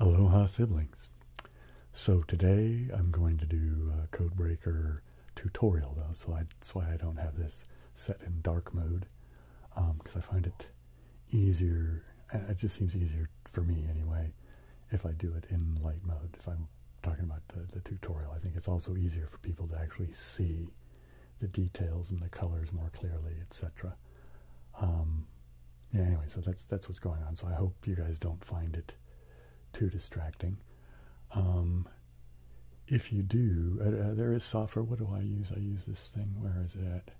Aloha siblings. So today I'm going to do a Codebreaker tutorial though, so that's why I don't have this set in dark mode because um, I find it easier, it just seems easier for me anyway, if I do it in light mode. If I'm talking about the, the tutorial, I think it's also easier for people to actually see the details and the colors more clearly, etc. Um, yeah, anyway, so that's that's what's going on. So I hope you guys don't find it too distracting. Um, if you do, uh, uh, there is software. What do I use? I use this thing. Where is it at?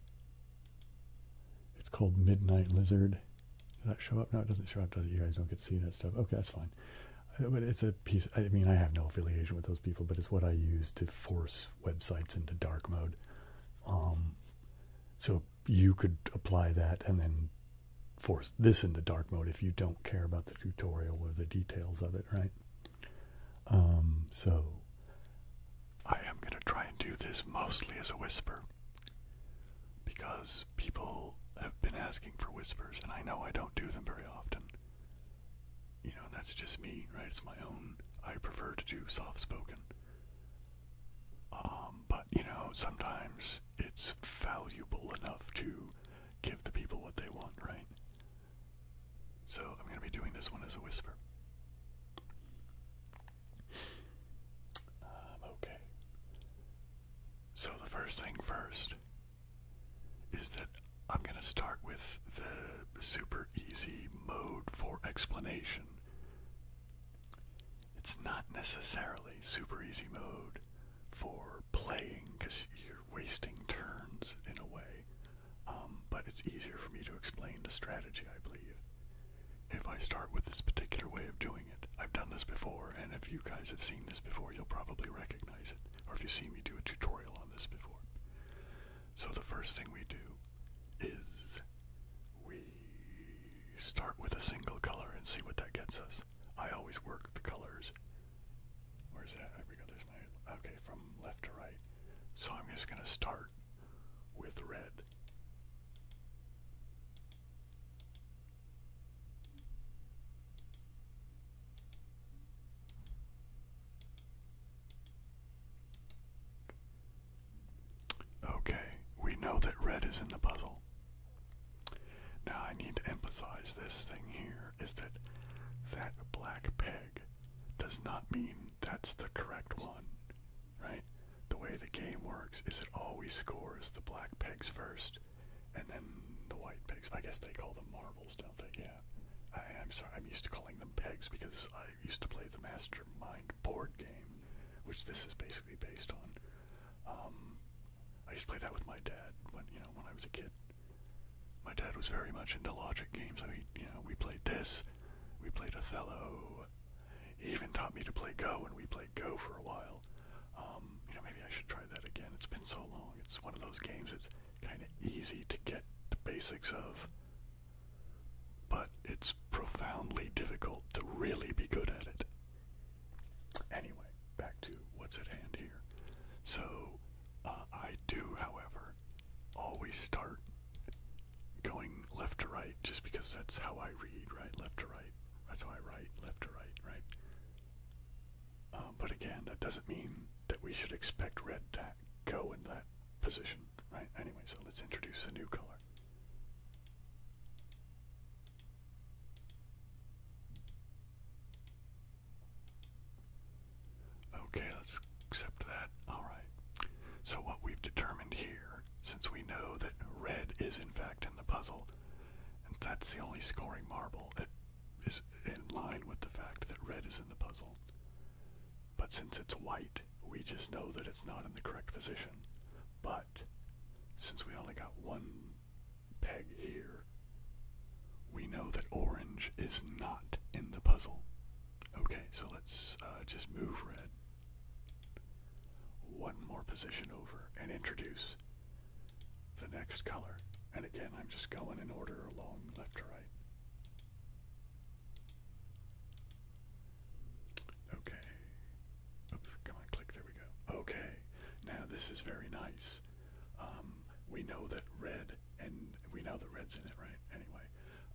It's called Midnight Lizard. Does that show up? No, it doesn't show up, does it? You guys don't get to see that stuff. Okay, that's fine. Uh, but it's a piece, I mean, I have no affiliation with those people, but it's what I use to force websites into dark mode. Um, so you could apply that and then force this into dark mode if you don't care about the tutorial or the details of it, right? Um, so I am going to try and do this mostly as a whisper. Because people have been asking for whispers, and I know I don't do them very often. You know, that's just me, right? It's my own. I prefer to do soft spoken. Um, but, you know, sometimes it's valuable enough to give the people what they want, right? So I'm going to be doing this one as a whisper. Um, okay. So, the first thing first is that I'm going to start with the super easy mode for explanation. It's not necessarily super easy mode for playing because you're wasting turns in a way, um, but it's easier for me to explain the strategy, I believe if I start with this particular way of doing it. I've done this before, and if you guys have seen this before, you'll probably recognize it, or if you've seen me do a tutorial on this before. So the first thing we do is we start with a single color and see what that gets us. I always work the colors. Where's that? I we go. There's my. Okay, from left to right. So I'm just going to start with red. Okay, we know that red is in the puzzle. Now I need to emphasize this thing here is that that black peg does not mean that's the correct one, right? the way the game works is it always scores the black pegs first and then the white pegs. I guess they call them marbles, don't they? Yeah. I, I'm sorry, I'm used to calling them pegs because I used to play the Mastermind board game, which this is basically based on. Um, I used to play that with my dad when you know when I was a kid. My dad was very much into logic games, so he you know we played this, we played Othello. He even taught me to play Go, and we played Go for a while. Um, you know, maybe I should try that again. It's been so long. It's one of those games it's kind of easy to get the basics of, but it's profoundly difficult to really be good at it. Anyway, back to what's at hand here. So, uh, I do, however, always start going left to right just because that's how I read, right? Left to right. That's why right, left to right, right? Uh, but again, that doesn't mean that we should expect red to go in that position, right? Anyway, so let's introduce a new color. Okay, let's accept that. All right. So what we've determined here, since we know that red is in fact in the puzzle, and that's the only scoring marble that is in line with the fact that red is in the puzzle. But since it's white, we just know that it's not in the correct position. But since we only got one peg here, we know that orange is not in the puzzle. Okay, so let's uh, just move red one more position over and introduce the next color. And again, I'm just going in order along left to right. Okay. Oops, come on, click, there we go. Okay, now this is very nice. Um, we know that red, and we know that red's in it, right? Anyway,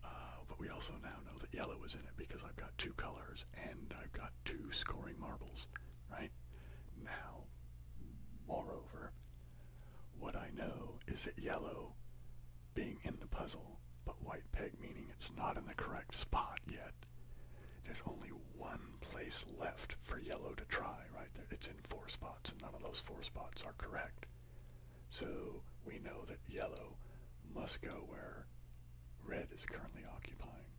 uh, but we also now know that yellow is in it because I've got two colors and I've got two scoring marbles right? Now, moreover, what I know is that yellow being in the puzzle, but white peg meaning it's not in the correct spot yet. There's only one place left for yellow to try, right? there. It's in four spots, and none of those four spots are correct. So we know that yellow must go where Red is currently occupying.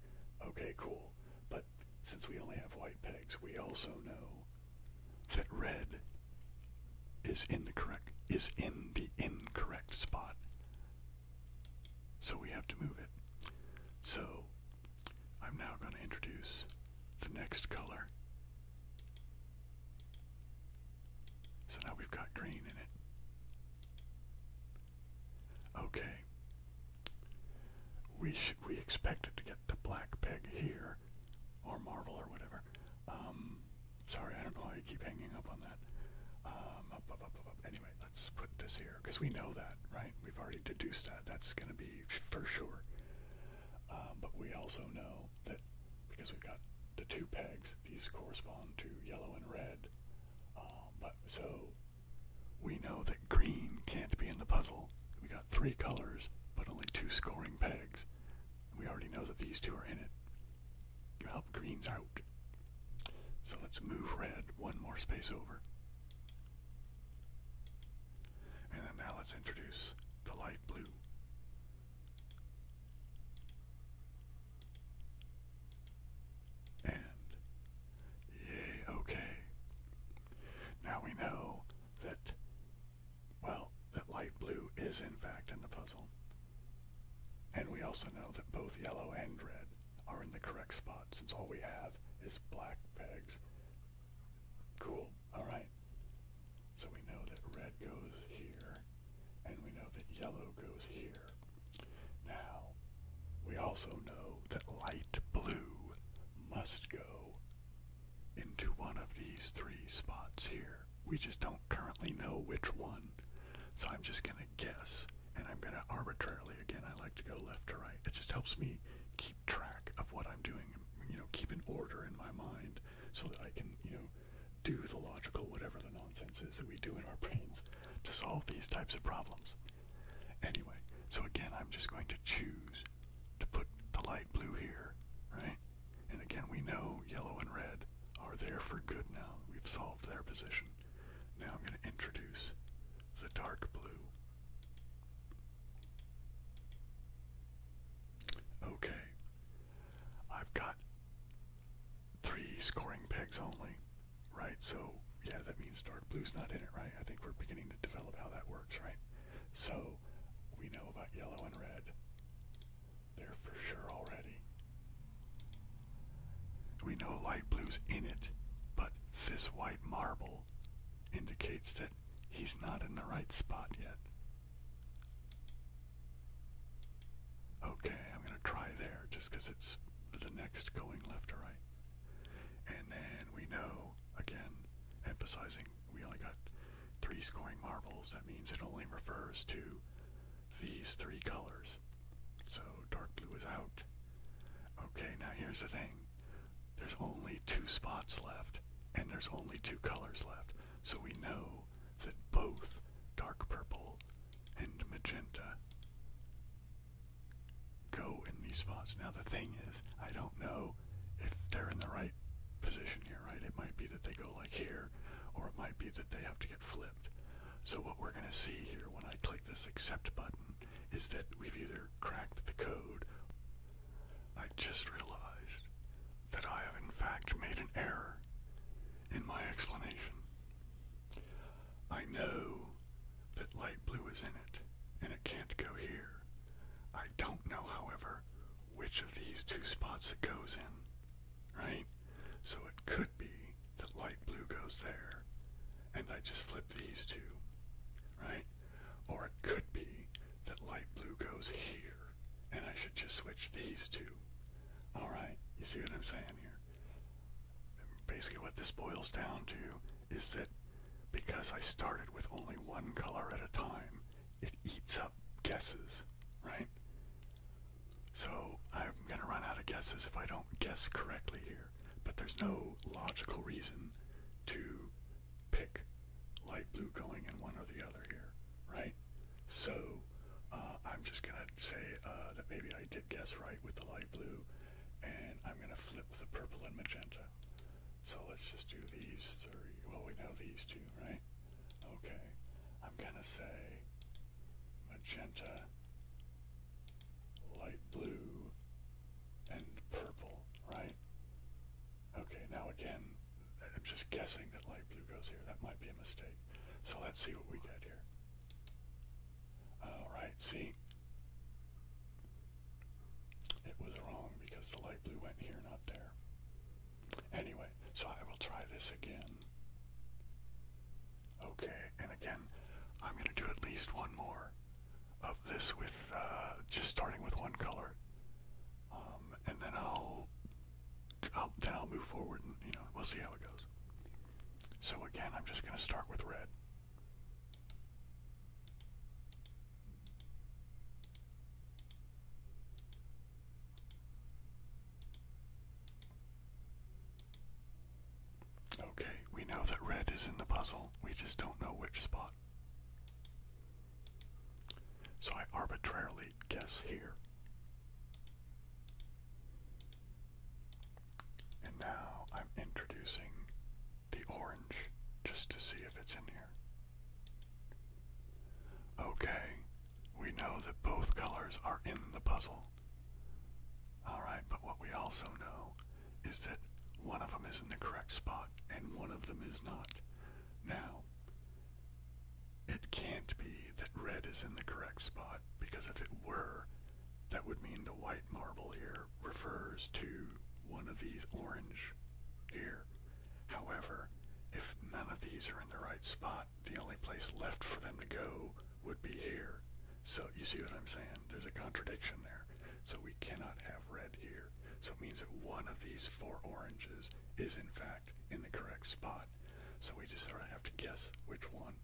Okay, cool. But since we only have white pegs, we also know that red is in the correct is in the incorrect spot. So we have to move it. So I'm now going to introduce the next color. So now we've got green in it. Okay. We we expected to get the black peg here, or Marvel or whatever. Um, sorry, I don't know why you keep hanging up on that. Um, anyway, let's put this here because we know that, right? We've already deduced that. That's going to be for sure. Um, but we also know that because we've got the two pegs, these correspond to yellow and red. but so we know that green can't be in the puzzle. We got three colors, but only two scoring pegs. We already know that these two are in it. You help greens out. So let's move red one more space over. And then now let's introduce the light blue and yay, okay. Now we know that, well, that light blue is in fact in the puzzle. And we also know that both yellow and red are in the correct spot since all we have is black pegs. Cool, alright. So we know that red goes here, and we know that yellow goes here. Now, we also know that light blue must go into one of these three spots here. We just don't currently know which one. So I'm just going to guess and I'm going to arbitrarily, again, I like to go left to right. It just helps me keep track of what I'm doing, you know, keep an order in my mind so that I can, you know, do the logical, whatever the nonsense is that we do in our brains to solve these types of problems. Anyway, so again, I'm just going to choose to put the light blue here, right? And again, we know yellow and red are there for good now. We've solved their position. Now I'm going to introduce the dark blue. Okay. I've got three scoring pegs only right? So yeah, that means dark blue's not in it, right? I think we're beginning to develop how that works, right? So we know about yellow and red. They're for sure already. We know light blue's in it, but this white marble indicates that he's not in the right spot yet. Okay, I'm going to try there just because it's the next going left or right. And then we know, again, emphasizing we only got three scoring marbles. That means it only refers to these three colors. So dark blue is out. Okay, now here's the thing. There's only two spots left, and there's only two colors left. So we know that both dark purple and magenta go in these spots. Now the thing is, I don't know if they're in the right position here, right? It might be that they go like here, or it might be that they have to get flipped. So what we're gonna see here when I click this accept button is that we've either cracked the code. I just realized that I have in fact made an error in my explanation. I know that light blue is in it, and it can't go here. I don't know, however, which of these two spots it goes in, right? So it could be that light blue goes there, and I just flip these two, right? Or it could be that light blue goes here, and I should just switch these two. Alright, you see what I'm saying here? Basically what this boils down to is that because I started with only one color at a time, it eats up guesses, right? So I'm going to run out of guesses if I don't guess correctly here. But there's no logical reason to pick light blue going in one or the other here, right? So uh, I'm just going to say uh, that maybe I did guess right with the light blue, and I'm going to flip the purple and magenta. So let's just do these three. Well, we know these two, right? Okay. I'm gonna say magenta, light blue, and purple, right? Okay, now again, I'm just guessing that light blue goes here. That might be a mistake. So let's see what we get here. Alright, see? It was wrong because the light blue went here, not there. Anyway, so I will try this again. Okay, and again, I'm going to do at least one more of this with uh, just starting with one color. Um, and then I'll, then I'll move forward and, you know, we'll see how it goes. So again, I'm just going to start with red. Okay, we know that red is in the puzzle, we just don't know which spot. So I arbitrarily guess here. And now I'm introducing the orange just to see if it's in here. Okay, we know that both colors are in the puzzle. Alright, but what we also know is that one of them is in the correct spot and one of them is not. Now, it can't be that red is in the correct spot because if it were, that would mean the white marble here refers to one of these orange here. However, if none of these are in the right spot, the only place left for them to go would be here. So you see what I'm saying? There's a contradiction there. So we cannot have red here. So it means that one of these four oranges is in fact in the correct spot. So we just sort of have to guess which one.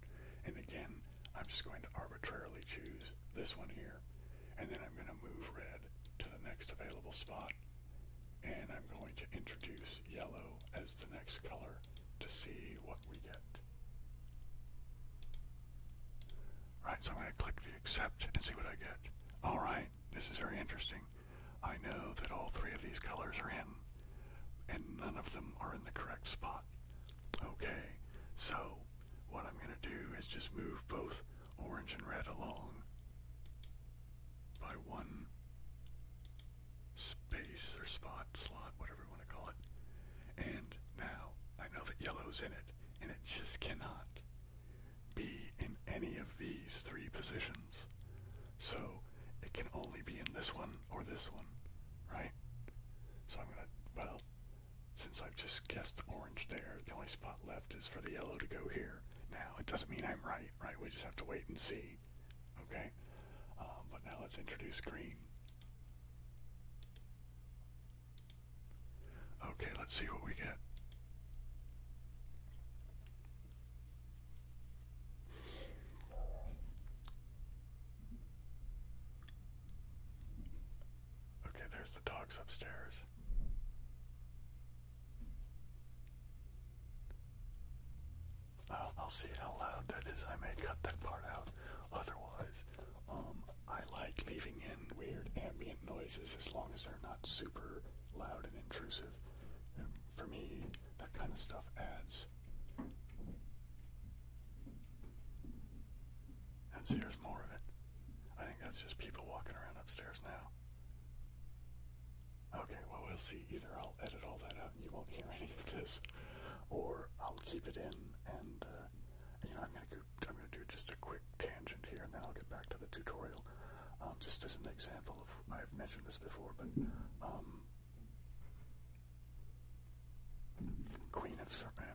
And again, I'm just going to arbitrarily choose this one here. And then I'm going to move red to the next available spot. And I'm going to introduce yellow as the next color to see what we get. Right, so I'm going to click the accept and see what I get. All right, this is very interesting. I know that all three of these colors are in, and none of them are in the correct spot. Okay, so what I'm going to do is just move both orange and red along by one space or spot, slot, whatever you want to call it. And now I know that yellow's in it, and it just cannot be in any of these three positions. So it can only be in this one or this one, right? So I'm gonna, well, since I've just guessed orange there, the only spot left is for the yellow to go here. Now, it doesn't mean I'm right, right? We just have to wait and see. Okay? Um, but now let's introduce green. Okay, let's see what we get. Okay, there's the dogs upstairs. I'll, I'll see how loud that is. I may cut that part out. Otherwise, um, I like leaving in weird ambient noises as long as they're not super loud and intrusive. for me, that kind of stuff adds. And here's more of it. I think that's just people walking around upstairs now. Okay, well, we'll see. Either I'll edit all that out you won't hear any of this, or I'll keep it in and, uh, you know, I'm going to I'm going to do just a quick tangent here and then I'll get back to the tutorial. Um, just as an example of, I've mentioned this before, but, um, Queen of Serpent.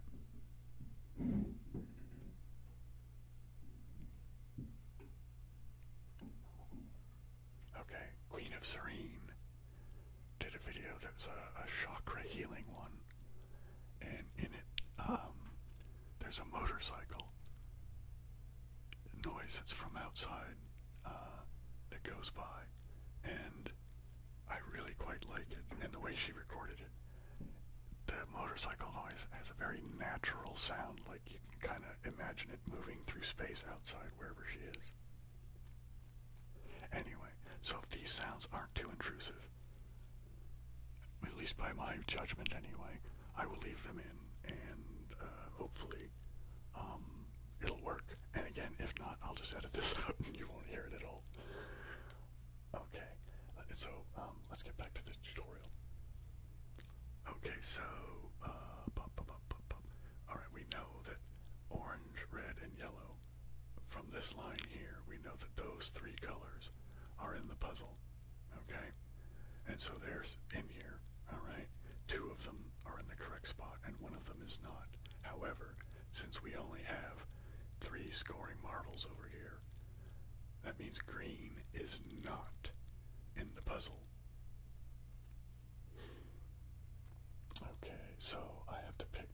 Okay, Queen of Serene did a video that's a, chakra healing one, and in it, um, there's a motorcycle noise that's from outside uh, that goes by, and I really quite like it, and the way she recorded it the motorcycle noise has a very natural sound, like you can kind of imagine it moving through space outside wherever she is. Anyway, so if these sounds aren't too intrusive, at least by my judgment anyway, I will leave them in and uh, hopefully um, it'll work. And again, if not, I'll just edit this out and you won't hear it at all. Okay, uh, so um, let's get back to the tutorial. Okay, so uh, all right, we know that orange, red, and yellow. From this line here, we know that those three colors are in the puzzle. Okay, and so there's in here. All right, two of them are in the correct spot, and one of them is not. However, since we only have three scoring marbles over here, that means green is not in the puzzle. Okay, so I have to pick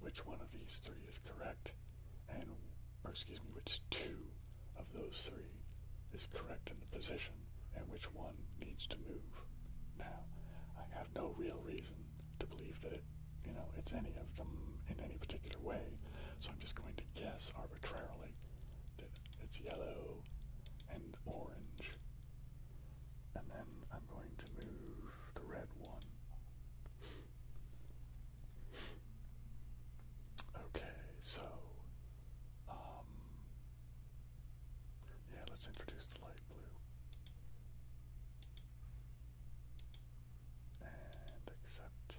which one of these three is correct, and, or excuse me, which two of those three is correct in the position, and which one needs to move. Now, I have no real reason to believe that it, you know, it's any of them in any particular way, so I'm just going to guess arbitrarily that it's yellow and orange. And then I'm going to move the red one. Okay, so um, yeah, let's introduce the light blue. And accept.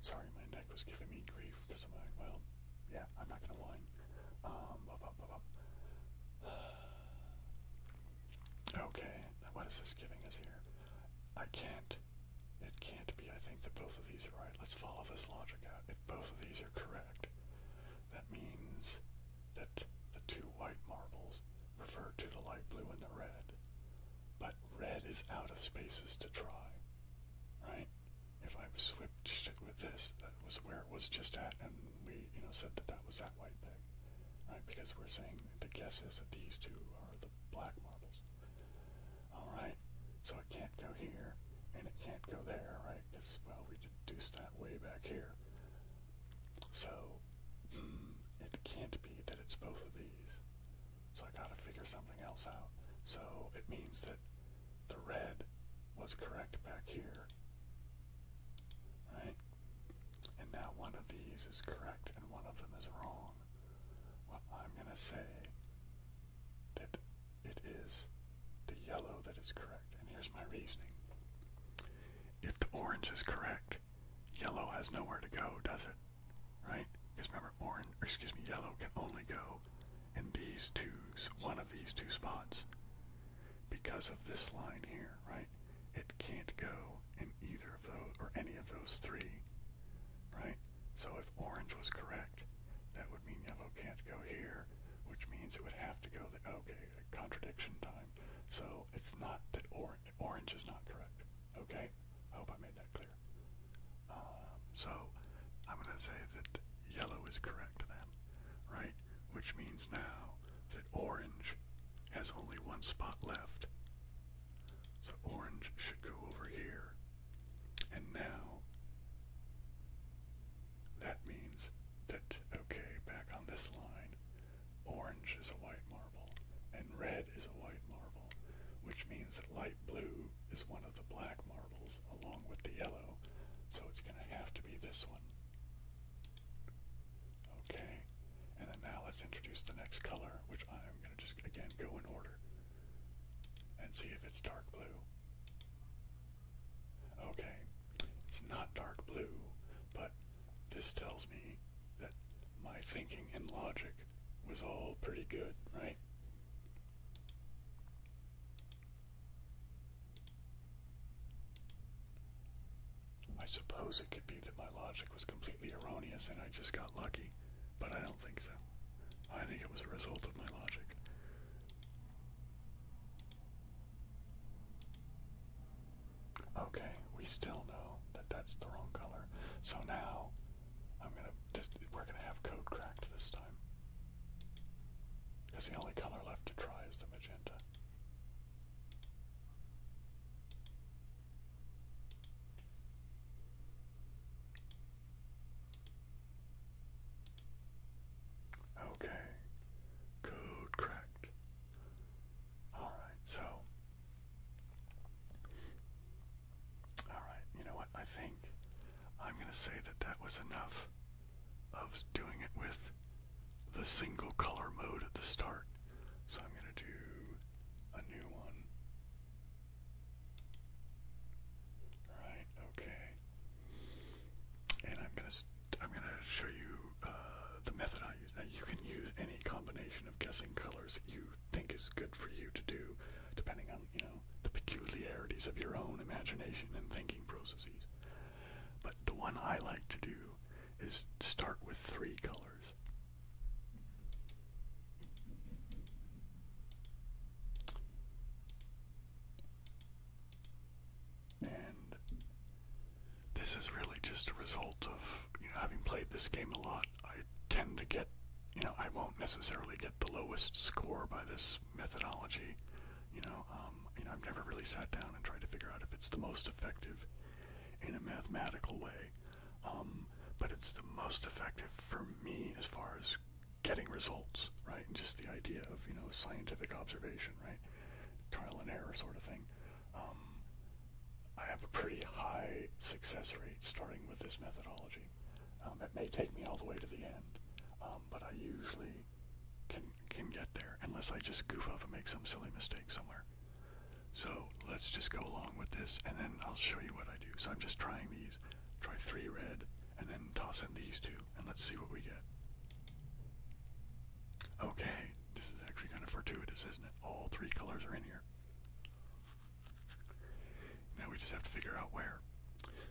Sorry, my neck was giving me grief well, yeah, I'm not gonna whine. Um, okay, what is this giving us here? I can't. It can't be. I think that both of these are right. Let's follow this logic out. If both of these are correct, that means that the two white marbles refer to the light blue and the red, but red is out of spaces to try, right? If I switched with this, that was where it was just at, and we, you know, said that that was that white peg, right? Because we're saying the guess is that these two are the black marbles. All right, so it can't go here, and it can't go there, right? Because well, we deduced that way back here. So, mm, it can't be that it's both of these. So I gotta figure something else out. So it means that the red was correct back here. Right? And now one of these is correct and one of them is wrong. Well, I'm gonna say that it is the yellow that is correct. And here's my reasoning if the orange is correct, yellow has nowhere to go, does it? Right? Because remember, orange, excuse me, yellow can only go in these two, one of these two spots because of this line here, right? It can't go in either of those, or any of those three, right? So if orange was correct, that would mean yellow can't go here, which means it would have to go the, okay, contradiction time. So it's not that orange is not correct. Okay? I hope I made that clear. Um, so I'm going to say that yellow is correct then, right? Which means now that orange has only one spot left. So orange should go over here. And now that means that, okay, back on this line, Orange is a white marble, and red is a white marble, which means that light blue is one of the black marbles along with the yellow, so it's going to have to be this one. Okay, and then now let's introduce the next color, which I'm going to just, again, go in order and see if it's dark blue. Okay, it's not dark blue, but this tells me that my thinking and logic was all pretty good, right? I suppose it could be that my logic was completely erroneous and I just got lucky, but I don't think so. I think it was a result of my logic. Okay, we still know that that's the wrong color. So now, I'm gonna. This, we're gonna have code cracked this time. Because the only color left to try is the magenta. Okay, code cracked. All right, so. All right, you know what? I think I'm going to say that that was enough of doing it with the single color mode at the start. So I'm going to do a new one. All right, okay. And I'm going to I'm going to show you uh, the method I use. Now, you can use any combination of guessing colors that you think is good for you to do, depending on, you know, the peculiarities of your own imagination and thinking processes. But the one I like to do is start with three colors. And this is really just a result of you know having played this game a lot. I tend to get you know I won't necessarily get the lowest score by this methodology. You know, um, you know I've never really sat down and tried to figure out if it's the most effective in a mathematical way. Um, but it's the most effective for me as far as getting results, right? And just the idea of you know scientific observation, right? Trial and error sort of thing. Um, I have a pretty high success rate starting with this methodology. Um, it may take me all the way to the end, um, but I usually can can get there unless I just goof up and make some silly mistake somewhere. So let's just go along with this, and then I'll show you what I do. So I'm just trying these. Try three red, and then toss in these two, and let's see what we get. Okay, this is actually kind of fortuitous, isn't it? All three colors are in here. Now we just have to figure out where.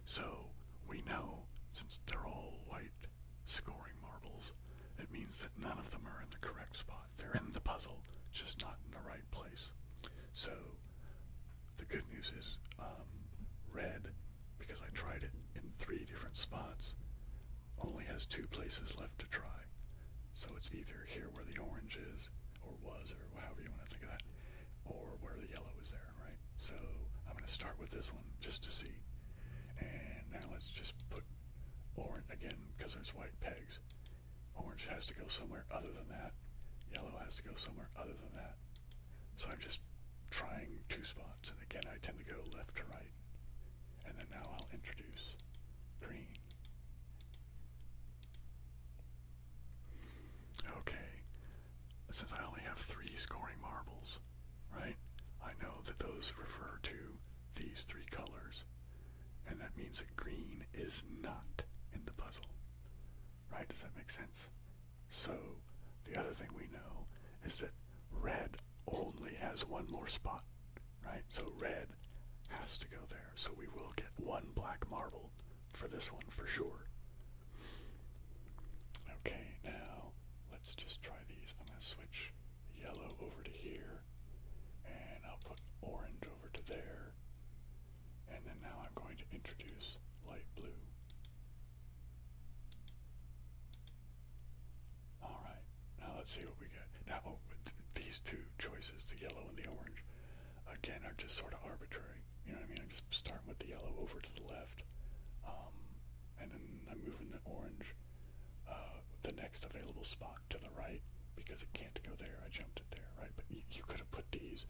So we know, since they're all white scoring marbles, it means that none of them are in the correct spot. They're in the puzzle, just not in the right place. So the good news is um, red, because I tried it in three different spots, only has two places left to try. So it's either here where the orange is, or was, or however you want to think of that, or where the yellow is there, right? So I'm going to start with this one just to see. And now let's just put orange, again, because there's white pegs. Orange has to go somewhere other than that. Yellow has to go somewhere other than that. So I'm just trying two spots, and again I tend to go left to right. And then now I'll introduce green. Okay, since I only have three scoring marbles, right, I know that those refer to these three colors. And that means that green is not in the puzzle. Right? Does that make sense? So, the other thing we know is that red only has one more spot right? So red has to go there. So we will get one black marble for this one for sure. Okay, now let's just try these. I'm going to switch yellow over to here, and I'll put orange over to there, and then now I'm going to introduce light blue. All right. Now let's see what we get. Now oh, these two choices, the yellow and the orange, again are just sort of arbitrary. You know what I mean? I'm just starting with the yellow over to the left, um, and then I'm moving the orange, uh, the next available spot to the right because it can't go there. I jumped it there, right? But you, could have put these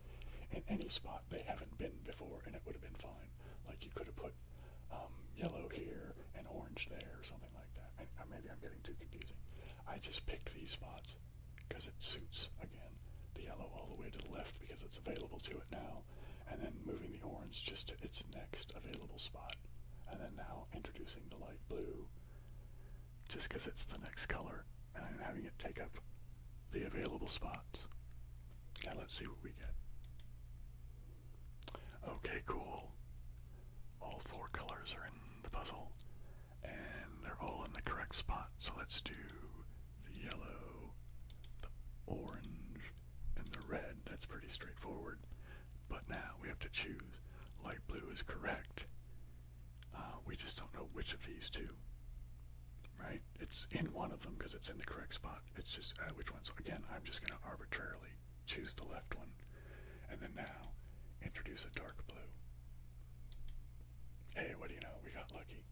in any spot they haven't been before, and it would have been fine. Like you could have put um, yellow here and orange there or something like that. I, uh, maybe I'm getting too confusing. I just pick these spots because it suits, again, the yellow all the way to the left because it's available to it now, and then moving the orange just to its next available spot, and then now introducing the light blue just because it's the next color, and I'm having it take up the available spots. Now let's see what we get. Okay, cool. All four colors are in the puzzle, and they're all in the correct spot. So let's do the yellow, the orange, and the red. That's pretty straightforward. But now we have to choose. Light blue is correct. Uh, we just don't know which of these two. Right? It's in one of them because it's in the correct spot. It's just uh, which ones. Again, I'm just going to arbitrarily choose the left one, and then now introduce a dark blue. Hey, what do you know? We got lucky.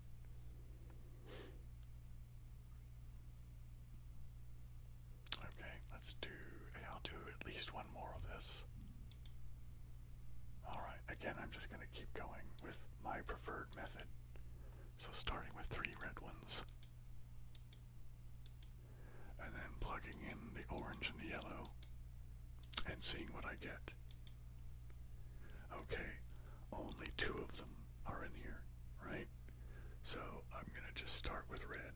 Okay, let's do. I'll do at least one more of this. Alright, again, I'm just going to keep going with my preferred method. So, starting with three red ones and then plugging in the orange and the yellow and seeing what I get. Okay, only two of them are in here, right? So I'm going to just start with red.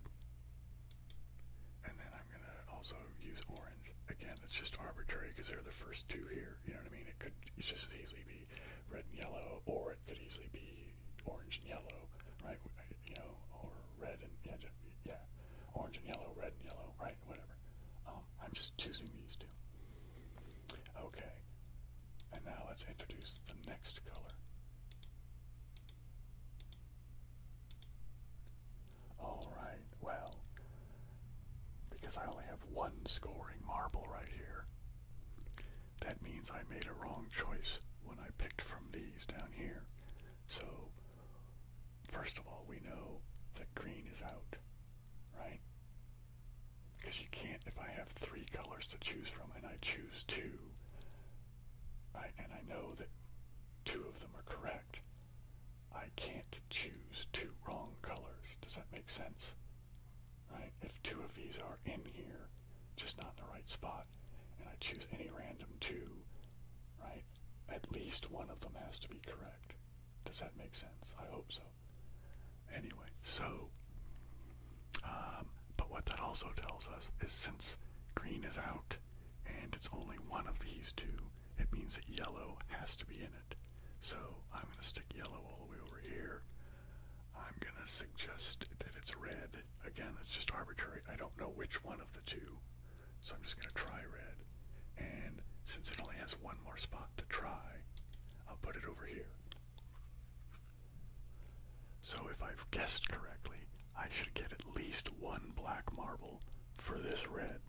And then I'm going to also use orange. Again, it's just arbitrary because they're the first two here. You know what I mean? It could it's just as easily be red and yellow, or it could easily be orange and yellow, right? You know, or red and yeah, yeah, orange and yellow, red and yellow, right, whatever. Um, I'm just choosing these two. Okay, and now let's introduce the next color. Alright, well, because I only have one scoring marble right here, that means I made a wrong choice when I picked from these down here. So First of all, we know that green is out, right? Because you can't, if I have three colors to choose from and I choose two, I, and I know that two of them are correct, I can't choose two wrong colors. Does that make sense? Right? If two of these are in here, just not in the right spot, and I choose any random two, right? At least one of them has to be correct. Does that make sense? I hope so. Anyway, so, um, but what that also tells us is since green is out and it's only one of these two, it means that yellow has to be in it. So I'm going to stick yellow all the way over here. I'm going to suggest that it's red. Again, it's just arbitrary. I don't know which one of the two. So I'm just going to try red. And since it only has one more spot to try, I'll put it over here. So if I've guessed correctly, I should get at least one black marble for this red.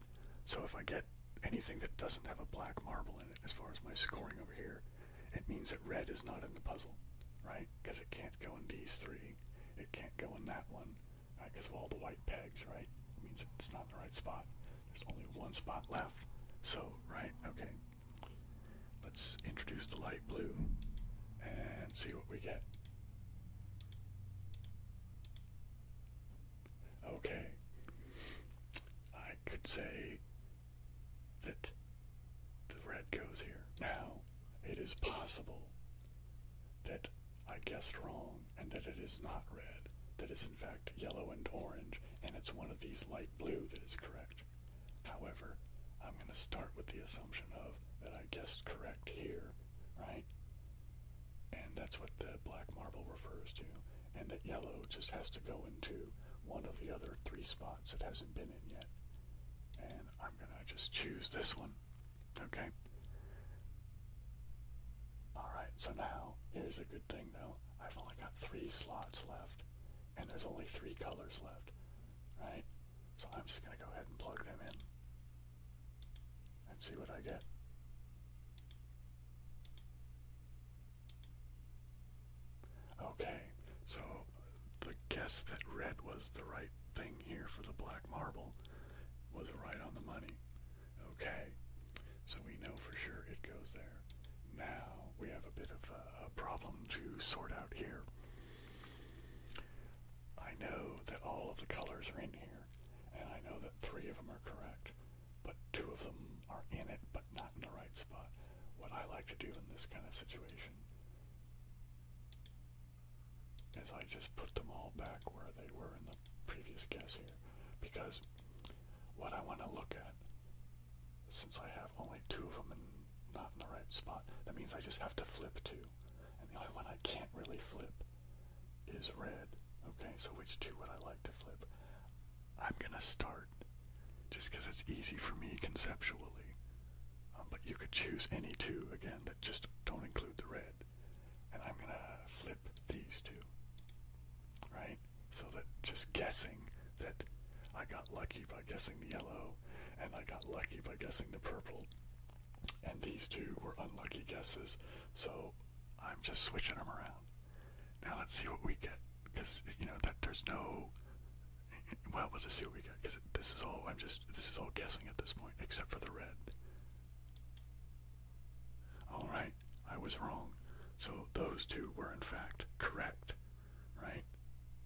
So if I get anything that doesn't have a black marble in it, as far as my scoring over here, it means that red is not in the puzzle, right? Because it can't go in these three. It can't go in that one because of all the white pegs, right? It means it's not the right spot. There's only one spot left. So, right, okay. Let's introduce the light blue and see what we get. Okay. I could say that the red goes here. Now, it is possible that I guessed wrong and that it is not red, that is in fact yellow and orange, and it's one of these light blue that is correct. However, I'm going to start with the assumption of that I guessed correct here, right? And that's what the black marble refers to, and that yellow just has to go into one of the other three spots it hasn't been in yet. And I'm going to just choose this one Okay. Alright, so now, here's a good thing though. I've only got three slots left, and there's only three colors left, right? So I'm just going to go ahead and plug them in and see what I get. Okay, so the guess that red was the right right thing here for the black marble was right on the money. Okay, so we know for sure it goes there. Now we have a bit of a, a problem to sort out here. I know that all of the colors are in here, and I know that three of them are correct, but two of them are in it but not in the right spot. What I like to do in this kind of situation is I just put them all back where they were in the previous guess here because what I want to look at since I have only two of them and not in the right spot that means I just have to flip two and the only one I can't really flip is red okay so which two would I like to flip I'm gonna start just because it's easy for me conceptually um, but you could choose any two again that just don't include the red and I'm going to flip these two, right? So that just guessing that I got lucky by guessing the yellow, and I got lucky by guessing the purple, and these two were unlucky guesses, so I'm just switching them around. Now let's see what we get, because, you know, that there's no, well, let's just see what we get, because this is all, I'm just, this is all guessing at this point, except for the red. Alright, I was wrong. So those two were in fact correct, right?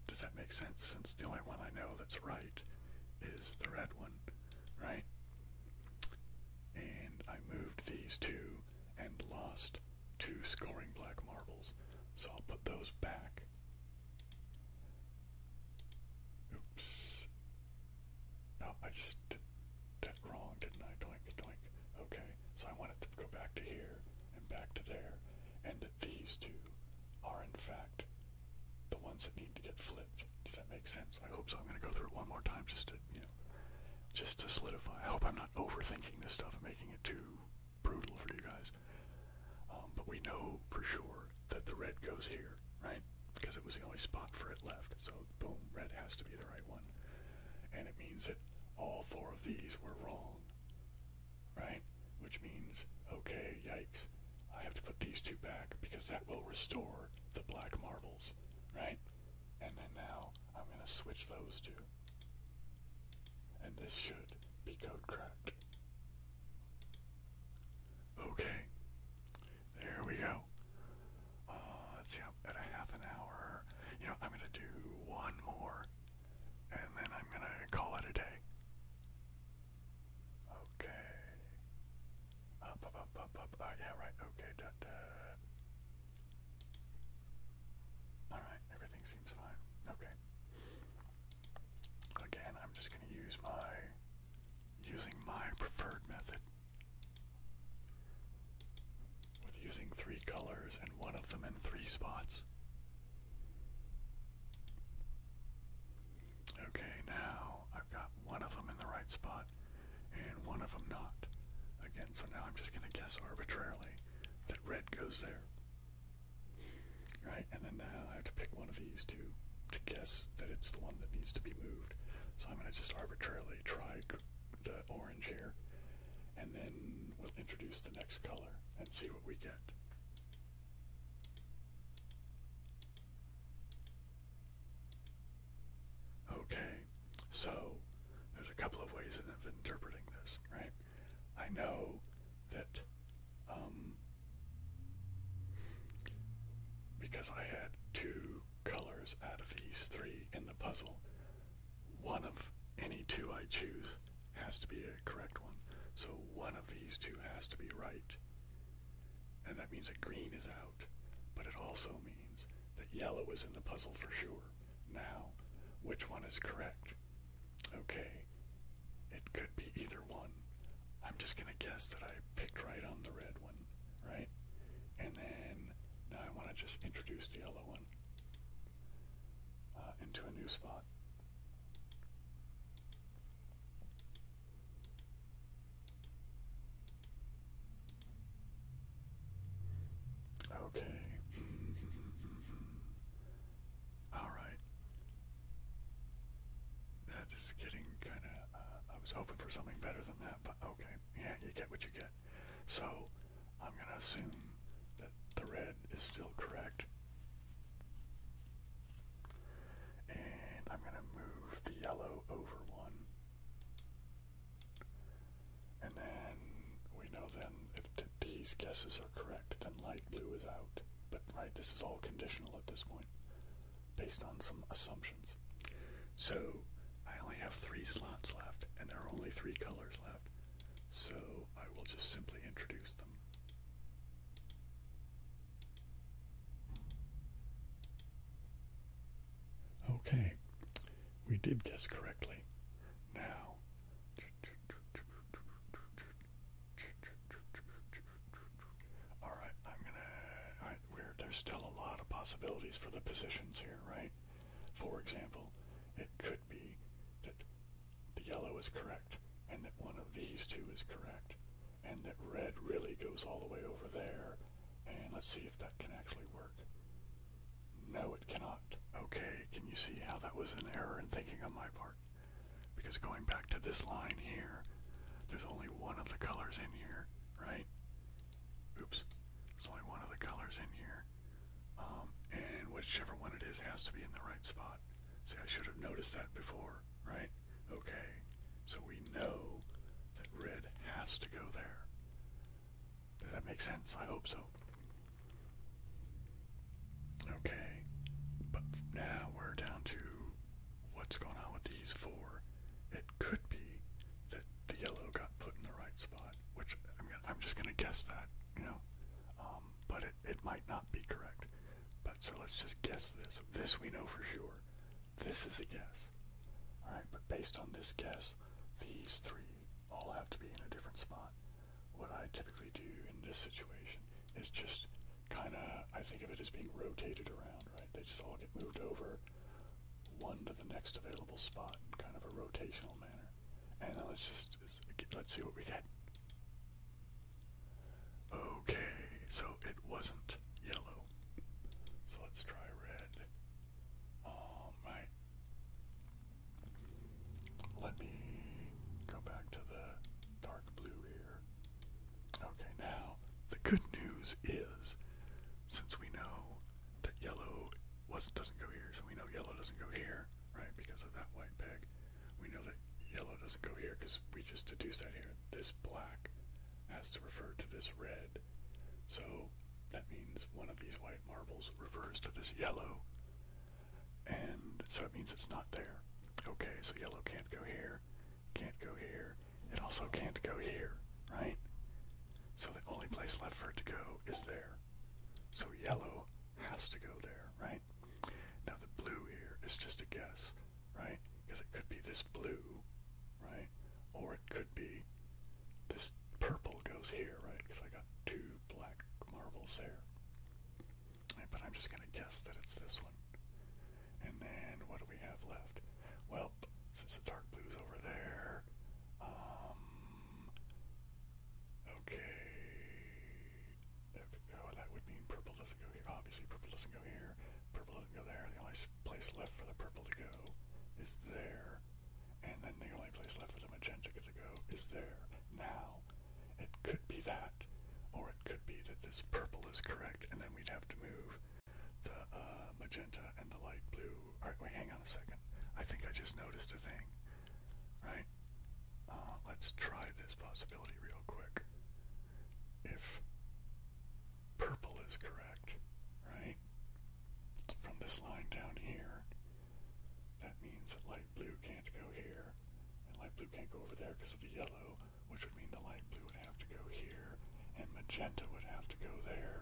Does that make sense? Since the only one I know that's right is the red one, right? And I moved these two and lost two scoring black marbles. So I'll put those back. Oops. No, I just did that wrong, didn't I? Doink, doink. Okay, so I want it to go back to here and back to there, and that these two are in fact the ones that need to get flipped. Does that make sense? I hope so. I'm going to go through it one more time just to, you know, just to solidify. I hope I'm not overthinking this stuff and making it too brutal for you guys. Um, but we know for sure that the red goes here right? Because it was the only spot for it left. So, boom, red has to be the right one. And it means that all four of these were wrong, right? Which means, okay, yikes, I have to put these two back because that will restore the black marbles, right? And then now I'm going to switch those two. And this should be code cracked. Okay. There we go let's see, I'm at a half an hour. You know, I'm going to do one more, and then I'm going to call it a day. Okay. Up, up, up, up, up. Uh, yeah, right. Okay, da, da. Alright, everything seems fine. Okay. Again, I'm just going to use my using my preferred method with using three colors and one of them in three spots. Okay, now I've got one of them in the right spot and one of them not. Again, so now I'm just going to guess arbitrarily that red goes there. Right, and then now I have to pick one of to to guess that it's the one that needs to be moved. So I'm going to just arbitrarily try the orange here, and then we'll introduce the next color and see what we get. Okay, so there's a couple of ways of interpreting this, right? I know that um, because I had two colors out of these three in the puzzle, one of any two I choose has to be a correct one. So one of these two has to be right. And that means that green is out, but it also means that yellow is in the puzzle for sure. Now, which one is correct? Okay, it could be either one. I'm just gonna guess that I picked right on the red one right? And then now I want to just introduce the yellow one uh, into a new spot. Okay. All right. That is getting kind of I was hoping for something better than that, but okay, yeah, you get what you get. So I'm going to assume that the red is still correct. And I'm going to move the yellow over one. And then we know then if these guesses are correct, then light blue is out. But right, this is all conditional at this point based on some assumptions. So I only have three slots left, and there are only three colors left. So I will just simply introduce them. Okay, we did guess correctly. Now, all right, I'm gonna. All where there's still a lot of possibilities for the positions here, right? For example, it could be that the yellow is correct and that one of these two is correct and that red really goes all the way over there and let's see if that can actually work. No, it cannot. Okay, can you see how that was an error in thinking on my part? Because going back to this line here, there's only one of the colors in here, right? Oops. There's only one of the colors in here. Um, and whichever one it is has to be in the right spot. See, I should have noticed that before, right? Okay. So we know that red has to go there. Does that make sense? I hope so. Okay. But now we're down to what's going on with these four could be that the yellow got put in the right spot, which I mean, I'm just gonna guess that, you know. Um, but it, it might not be correct. But so let's just guess this. This we know for sure. This is a guess. Alright, but based on this guess, these three all have to be in a different spot. What I typically do in this situation is just kind of, I think of it as being rotated around, right? They just all get moved over one to the next available spot in kind of a rotational manner. And let's just, let's see what we get. Okay, so it wasn't yellow. So let's try red. All right. Let me go back to the dark blue here. Okay, now the good news is, since we know that yellow doesn't go here, so we know yellow doesn't go here, right, because of that white peg, we know that yellow doesn't go here because we just deduced that here. This black has to refer to this red. So that means one of these white marbles refers to this yellow. And so it means it's not there. Okay, so yellow can't go here, can't go here, it also can't go here, right? So the only place left for it to go is there. So yellow has to go there, right? Now the blue here is just a guess, right? Because it could be this blue, right? Or it could be this purple goes here, right? Because I got two black marbles there. but I'm just going to guess that it's this one. And then what do we have left? Well, since the dark blue's over there. Um, okay. There we go. That would mean purple doesn't go here. Obviously, purple doesn't go here. Purple doesn't go there. The only place left for the purple to go is there. And then the only place left for the magenta to go is there. Now, it could be that. Or it could be that this purple is correct, and then we'd have to move the uh, magenta and the light blue. Alright, wait, hang on a second. I think I just noticed a thing. Right? Uh, let's try this possibility real quick. If purple is correct, right? From this line down here, that means that light blue can't go here, and light blue can't go over there because of the yellow, which would mean the light blue would have to go here, and magenta would have to go there.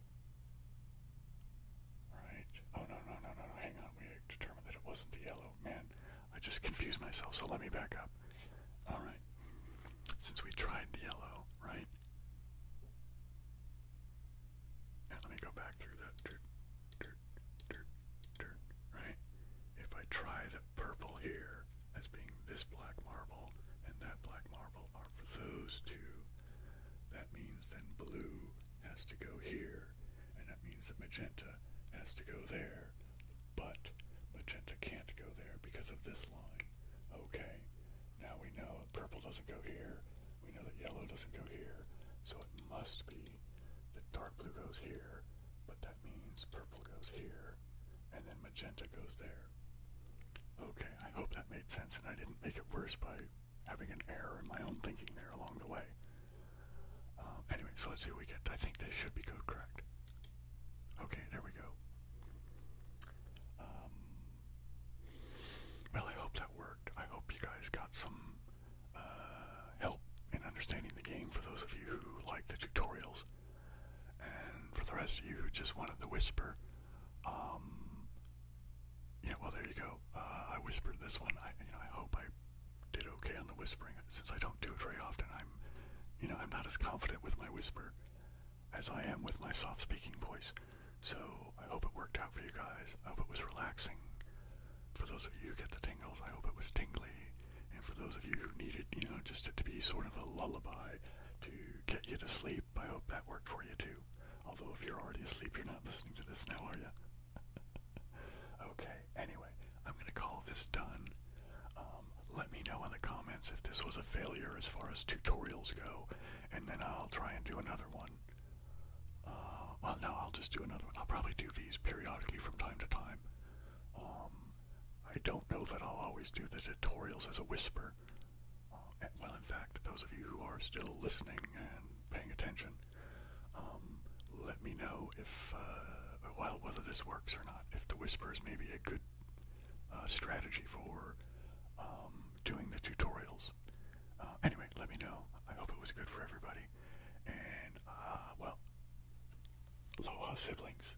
Right. Oh, no, no, no, no, no. Hang on. We determined that it wasn't the yellow. Man, I just confused myself, so let me back up. All right. Since we tried the yellow, right? And let me go back through that right? If I try the purple here as being this black marble and that black marble, are for those two. That means then blue has to go here, and that means that magenta has to go there, but magenta can't go there because of this line. Okay, now we know purple doesn't go here, we know that yellow doesn't go here, so it must be that dark blue goes here, but that means purple goes here, and then magenta goes there. Okay, I hope that made sense and I didn't make it worse by having an error in my own thinking there along the way. Um, anyway, so let's see what we get. I think this should be code correct. Okay, there we go. Um, well, I hope that worked. I hope you guys got some uh, help in understanding the game for those of you who like the tutorials. And for the rest of you who just wanted the whisper, um, yeah, well, there you go. Uh, I whispered this one. I, you know, I hope I did okay on the whispering. Since I don't do it very often, I'm, you know, I'm not as confident with my whisper as I am with my soft speaking voice. So I hope it worked out for you guys. I hope it was relaxing. For those of you who get the tingles, I hope it was tingly. And for those of you who needed, you know, just to, to be sort of a lullaby to get you to sleep, I hope that worked for you too. Although, if you're already asleep, you're not listening to this now, are you? okay, anyway, I'm going to call this done. Um, let me know in the comments if this was a failure as far as tutorials go, and then I'll try and do another one. Uh, well, no, I'll just do another one. I'll probably do these periodically from time to time. Um, I don't know that I'll always do the tutorials as a whisper. Uh, well, in fact, those of you who are still listening and paying attention, um, let me know if, uh, well, whether this works or not. If the whisper is maybe a good uh, strategy for um, doing the tutorials. anyway, let me know. I hope it was good for everybody. And, well, aloha siblings.